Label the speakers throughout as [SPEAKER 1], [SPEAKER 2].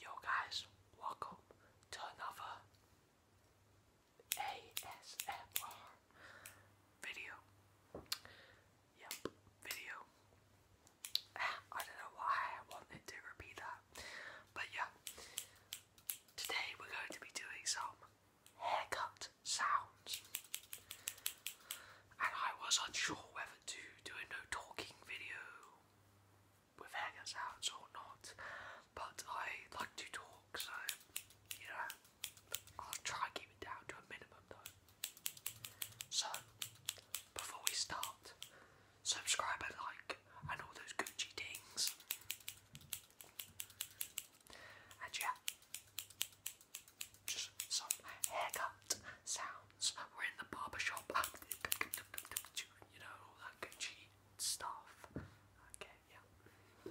[SPEAKER 1] Yo guys, welcome to another ASMR video. Yep, video. I don't know why I wanted to repeat that, but yeah. Today we're going to be doing some haircut sounds. And I was unsure whether to do a no talking video with hangers out or not, but I like to talk, so you know, I'll try and keep it down to a minimum though. So, before we start, subscribe and like, and all those Gucci dings. And yeah, just some haircut sounds. We're in the barber shop, ah, you know, all that Gucci stuff. Okay, yeah.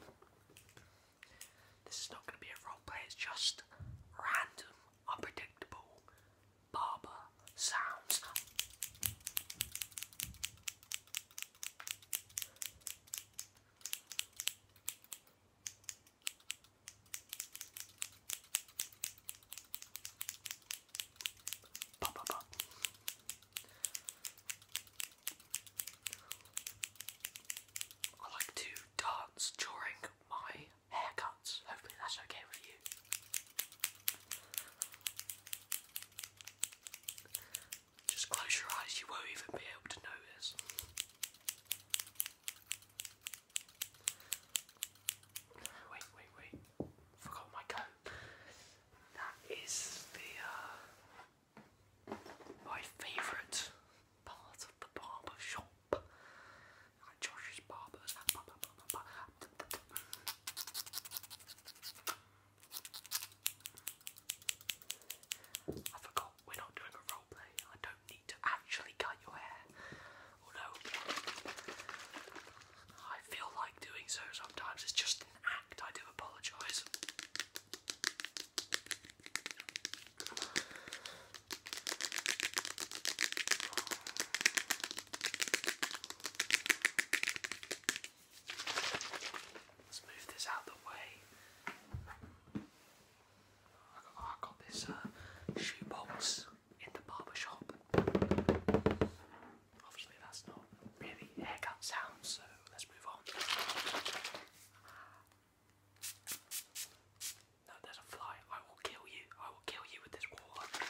[SPEAKER 1] This is not going to be a roleplay. It's just random, unpredictable barber sounds. Pop, pop, pop. I like to dance during my haircuts. Hopefully, that's okay with you. Just close your eyes, you won't even be able to notice. Wait, wait, wait. Forgot my coat. That is the uh, my favourite part of the barber shop. Josh's barbers. I forgot we're not doing a roleplay. I don't do need to actually cut your hair. Although I feel like doing so sometimes, it's just an act. I do apologise. Let's move this out of the way. I got, this uh, shoebox in the barber shop. Obviously, that's not really haircut sound, so let's move on. No, there's a fly. I will kill you. I will kill you with this water.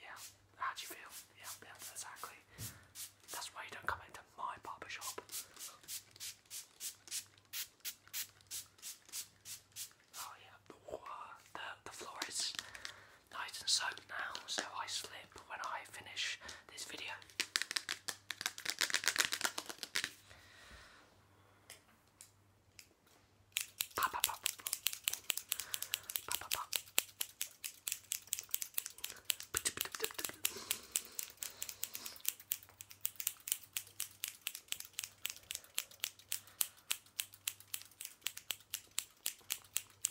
[SPEAKER 1] Yeah, how do you feel? yeah, exactly. That's why you don't come into my barber shop. Oh yeah, the the, floor is nice and soaked now, so I slip when I finish this video.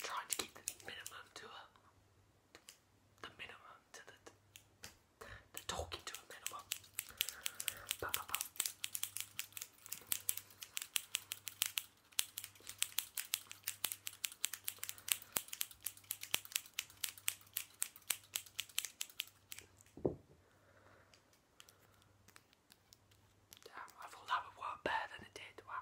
[SPEAKER 1] Trying to keep the minimum to the minimum to the talking to a minimum. Damn, I thought that would work better than it did. Wow.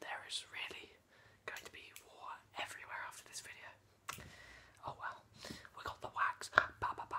[SPEAKER 1] there is really going to be war everywhere after this video. Oh well, we got the wax. Ba ba ba.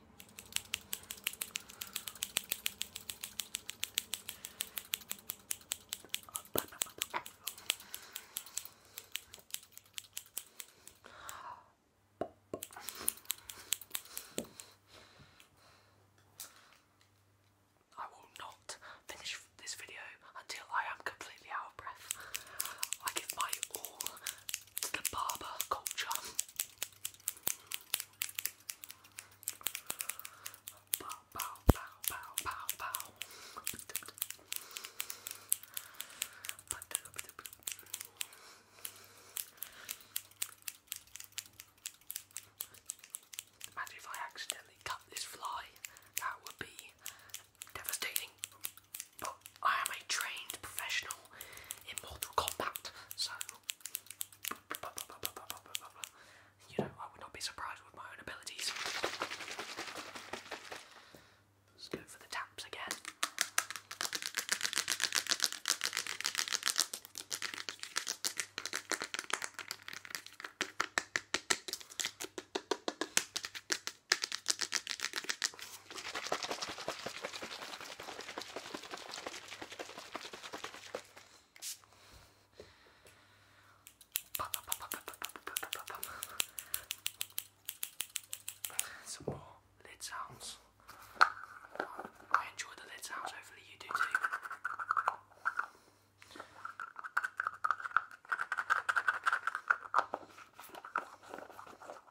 [SPEAKER 1] I will not finish this video until I am completely out of breath. I give my all to the barber culture. Bow, bow, Imagine if I accidentally cut this fly, that would be devastating. But I am a trained professional in Mortal Kombat, so you know, I would not be surprised with my own abilities. Let's go for the taps again. Some more lid sounds. I enjoy the lid sounds, hopefully, you do too.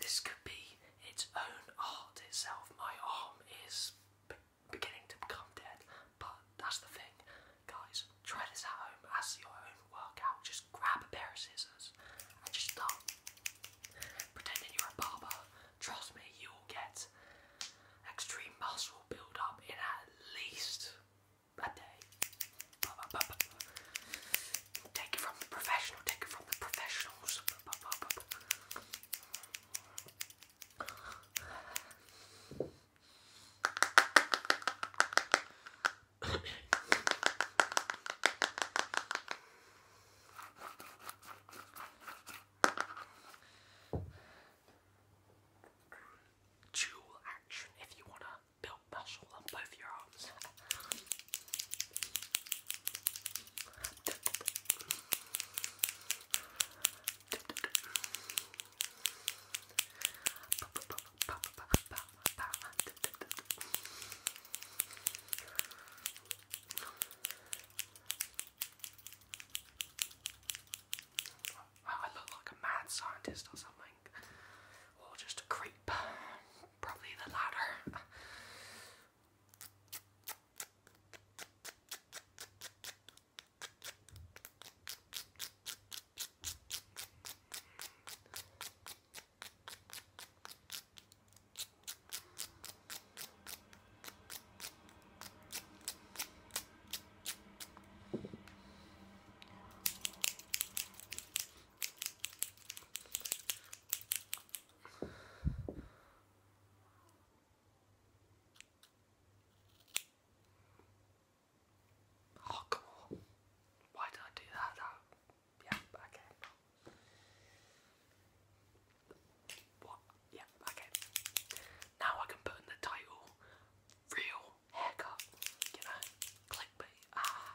[SPEAKER 1] This could be its own art itself. My arm is beginning to become dead, but that's the thing. Guys, try this at home as your own workout. Just grab a pair of scissors and just start pretending you're a barber. Trust me, you'll get extreme muscle build up in at least a day. Take it from the professional, take it from the professionals dual action if you want to build muscle on both your arms. I look like a mad scientist or something, or just a creep. Probably the latter. Oh, come Why did I do that yeah, okay. Yeah, okay. Now I can put in the title real haircut. You know? Clickbait. Ah.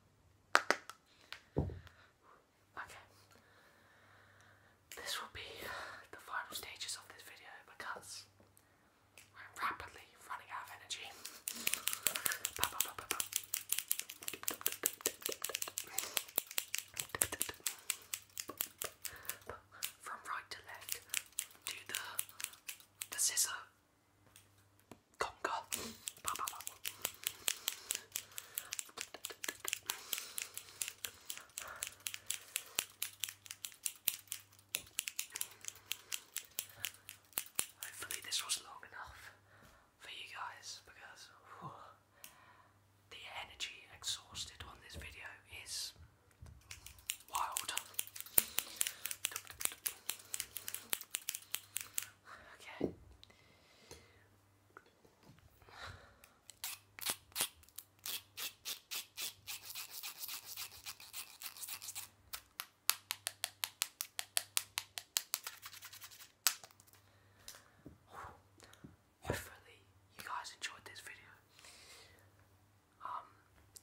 [SPEAKER 1] Okay. This will be the final stages of this video because I'm rapidly running out of energy. From right to left, do the the scissor Conquer. Hopefully, this was long enough for you guys because the energy exhausted on this video is wild. Okay. Hopefully you guys enjoyed this video. Um,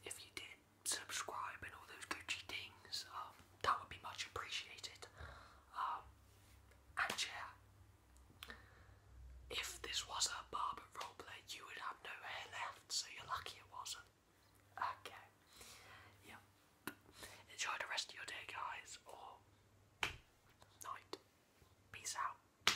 [SPEAKER 1] if you did subscribe and all those Gucci things, um, that would be much appreciated. Um, and yeah, if this was a barber roleplay, you would have no hair left, so you're lucky it wasn't. Okay. Yep. Enjoy the rest of your day, guys, or night. Peace out.